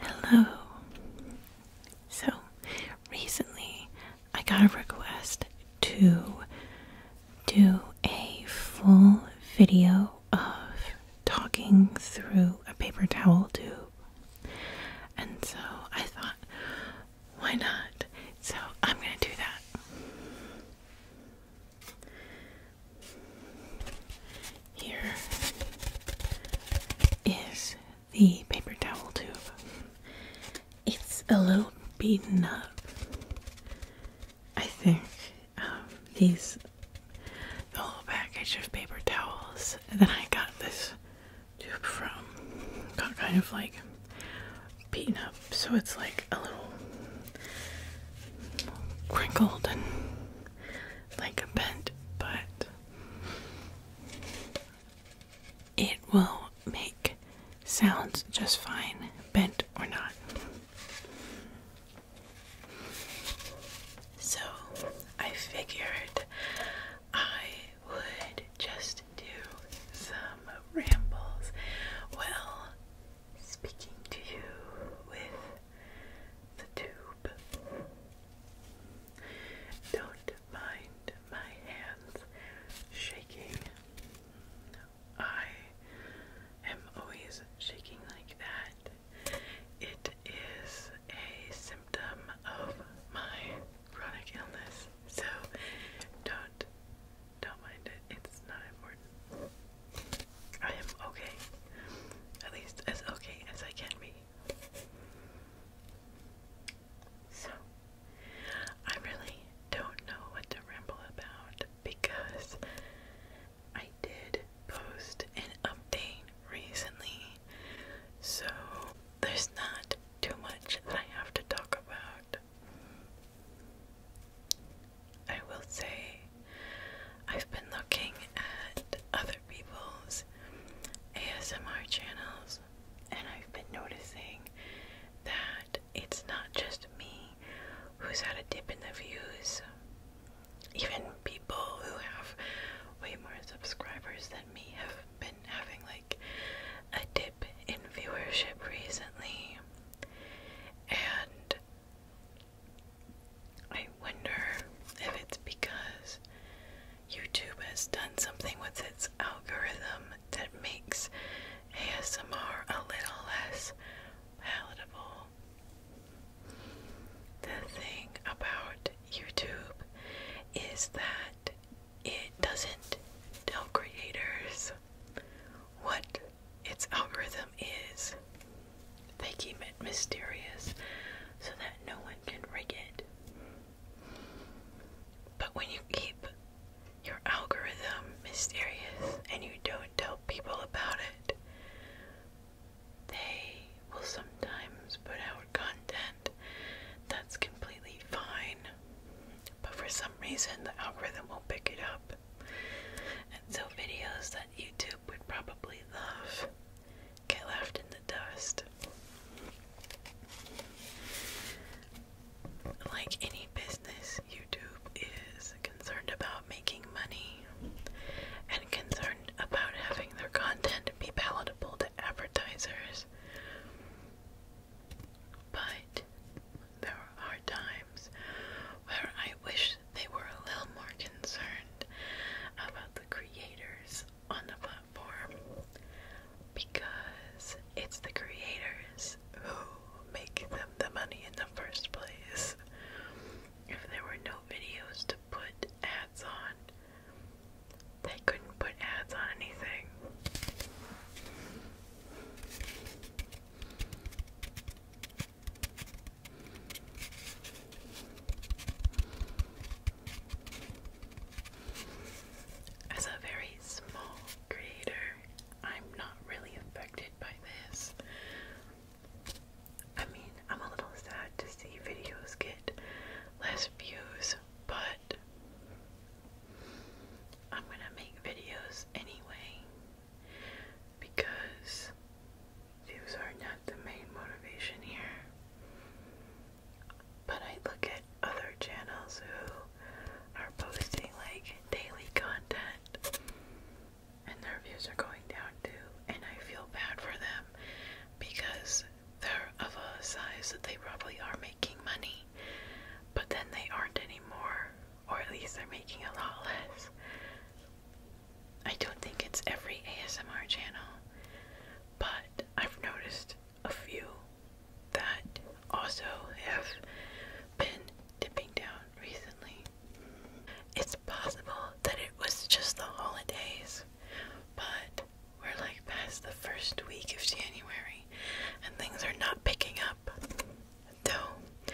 Hello. So, recently I got a request to do a full video of talking through a paper towel tube. And so I thought, why not? So I'm going to do that. Here is the paper towel tube. It's a little beaten up. I think um, these the package of paper towels Then I got this tube from got kind of like beaten up, so it's like a little crinkled and like a bent but It will make sounds just fine, bent or not. So I figured I would just do some rambles. Well, speaking to you with the tube. Don't mind my hands shaking. I am always shaking like that. It is a symptom of my chronic illness. So don't don't mind it. It's not important. I am okay. At least as okay as I can be. So, I really don't know what to ramble about because I did post an update recently. So, there's not too much that I have to talk about. I will say I've been looking at other people's ASMR channels and I've been noticing that it's not just me who's had a dip in the views. Even people who have way more subscribers than me have been having like a dip in viewership recently. And I wonder if it's because YouTube has done something with its algorithm that makes ASMR a little less palatable. The thing about YouTube is that it doesn't tell creators what its algorithm is they keep it mysterious so that no one can rig it. But when you keep your algorithm mysterious and you don't tell people about it, they will sometimes put out content that's completely fine, but for some reason the algorithm will pick it up. And so videos that YouTube would probably laugh, get left in the dust. Like any business, YouTube is concerned about making money and concerned about having their content be palatable to advertisers. But there are times where I wish they were a little more concerned about the creators on the platform because it's the creators who make them the money in the first place. If there were no videos to put ads on, they couldn't put ads on anything. As a very small creator, I'm not really affected by this. I mean, I'm a little sad to see videos get less views, but I'm gonna make videos anyway because views are not the main motivation here. But I look at other channels who are posting like daily content and their views are going down too, and I feel bad for them because they're of a size that they probably are making money, but then they aren't anymore or at least they're making a lot less. I don't think it's every ASMR channel, but I've noticed a few that also have been dipping down recently. It's possible that it was just the holidays, but we're like past the first week of January and things are not picking up. Though,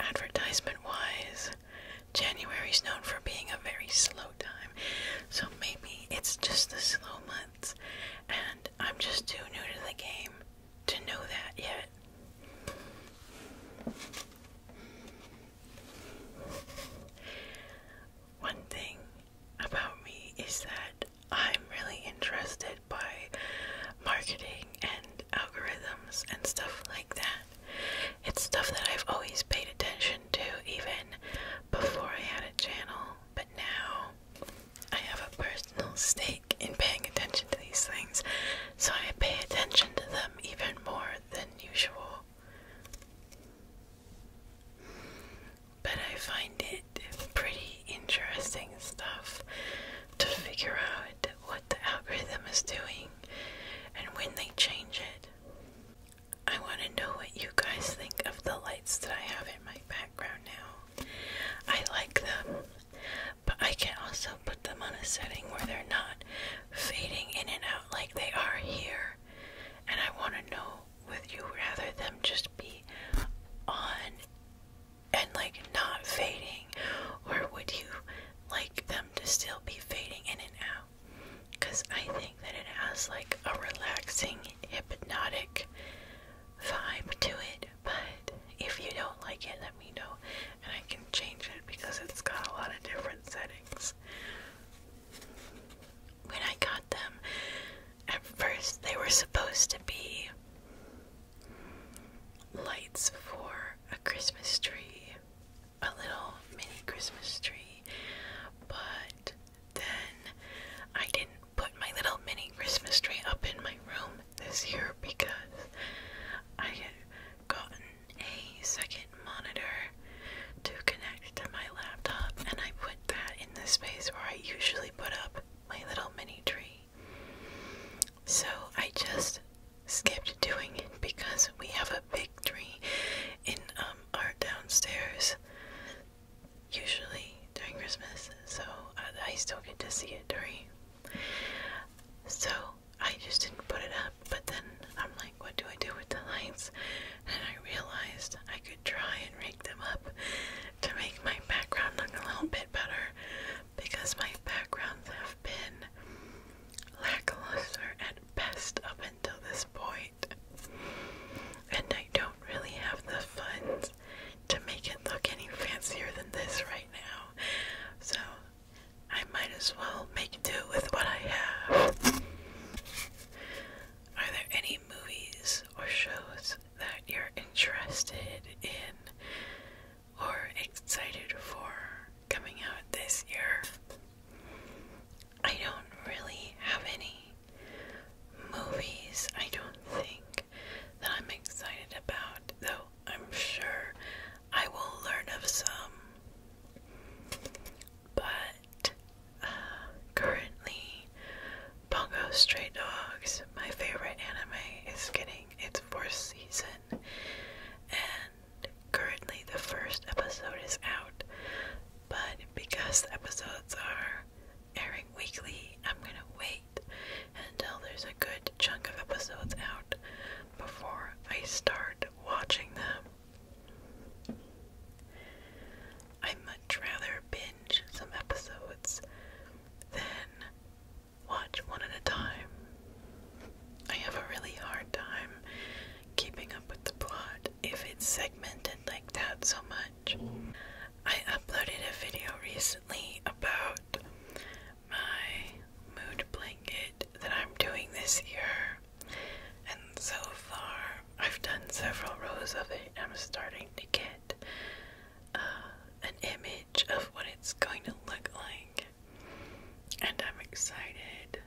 advertisement wise, January's known for being a very slow time, so maybe it's just the slow months, and I'm just too new to the game to know that yet. One thing about me is that I'm really interested by marketing and algorithms and stuff like that. It's stuff that I've always paid attention to even before I had a channel, but now I have a personal stake in paying attention to these things, so I pay attention to them even more than usual. But I find it pretty interesting stuff to figure out what the algorithm is doing and when they change it. I want to know what you guys think of the lights that I have in my background now. I like them, but I can also put them on a setting where they're not fading in and out like they are here. And I want to know with you rather them just be on and like not fading, or would you like them to still be fading in and out because I think that it has like a relaxing, hypnotic vibe to it. But if you don't like it, let me know and I can change it because it's got a lot of different settings. When I got them, at first they were supposed to be lights for a Christmas tree, a little mini Christmas tree, but then I didn't put my little mini Christmas tree up in my room this year because I had gotten a second monitor to connect to my laptop, and I put that in the space where I usually put up my little mini tree. So I just skipped doing it because we have a big tree in um, our downstairs usually during Christmas, so I, still get to see it during. So I just didn't put it up, but then I'm like, what do I do with the lights? And I realized I could try and rake them up to make my background look a little bit better because my backgrounds have been lackluster at best up until this point, and I don't really have the funds to make it look any fancier than this right now, so I might as well make do with what I have. Are there any movies or shows that you're interested in? or excited for coming out this year. I don't really have any movies, I don't think, that I'm excited about, though I'm sure I will learn of some. But uh, currently, Pongo Straight Dogs, my favorite anime, is getting its fourth season. And currently, the first episode is out, but because episodes are airing weekly, I'm gonna wait until there's a good chunk of episodes out before I start watching them. I much rather binge some episodes than watch one at a time. I have a really hard time keeping up with the plot if it's segmented like that so much. I uploaded a video recently about my mood blanket that I'm doing this year, and so far I've done several rows of it. I'm starting to get uh, an image of what it's going to look like, and I'm excited.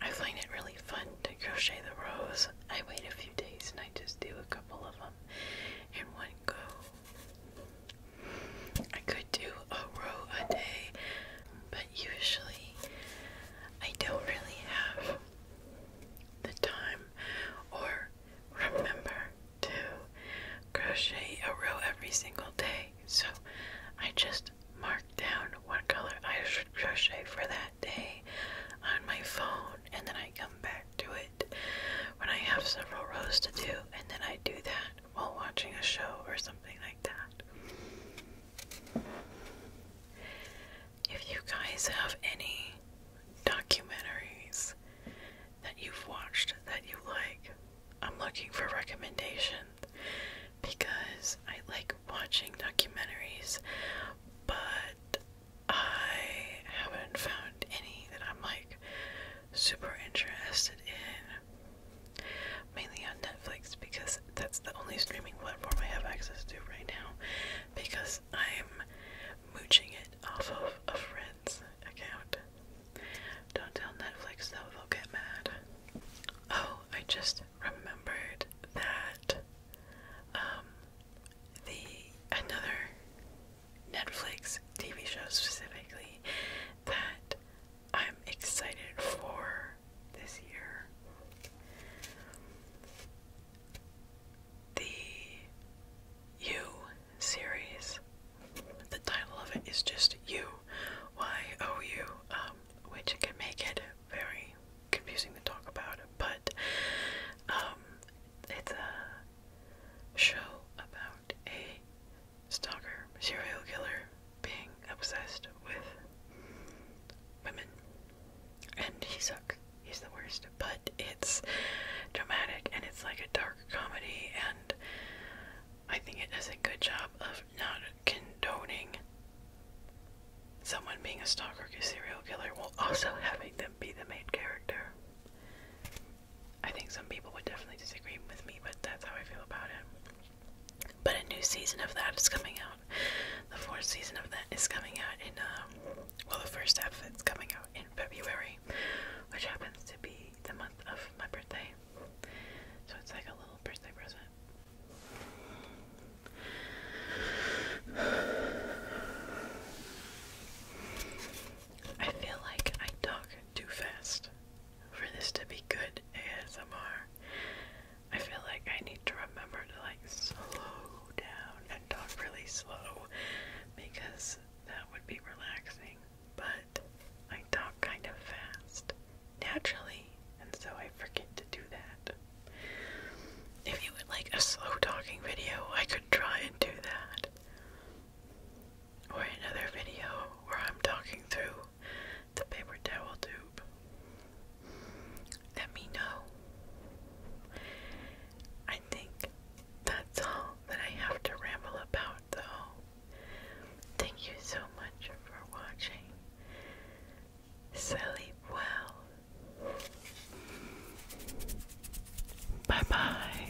I find it really fun to crochet the rows. I wait a few days and I just do a couple of them in one go. I could do a row a day, but usually I don't really have the time or remember to crochet a row every single day. So I just mark down what color I should crochet for that day on my phone, and then I come back to it when I have several rows to do, and then I do that while watching a show or something like that. If you guys have any documentaries that you've watched that you like. I'm looking for recommendations because I like watching documentaries, but I haven't found any that I'm like super interested in. Mainly on Netflix because that's the only streaming platform I have access to right now because I'm mooching it off of a friend Netflix account. Don't tell Netflix though, they'll get mad. Oh, I just remembered that um the another Netflix TV show specifically that I'm excited for this year. The You series the title of it is just U Y O U, um, which can make it very confusing to talk about, but um, it's a show about a stalker, serial killer being obsessed with women. And he sucks. He's the worst. But it's dramatic and it's like a dark comedy, and I think it does a good job of not condoning someone being a stalker or serial killer while also having them be the main character. I think some people would definitely disagree with me, but that's how I feel about it. But a new season of that is coming out. The fourth season of that is coming out in, um, well, the first half of it's coming out in February, which happens to be the month of my birthday. So it's like a little birthday present. I feel like I talk too fast for this to be good ASMR. I feel like I need to remember to like slow down and talk really slow because that would be relaxing but I talk kind of fast naturally, and so I forget to do that. If you would like a slow talking video, I could try and do that. Or another video where I'm talking through the paper towel tube. Let me know. I I think that's all that I have to ramble about, though. Thank you so much for watching. Sleep well. Bye bye.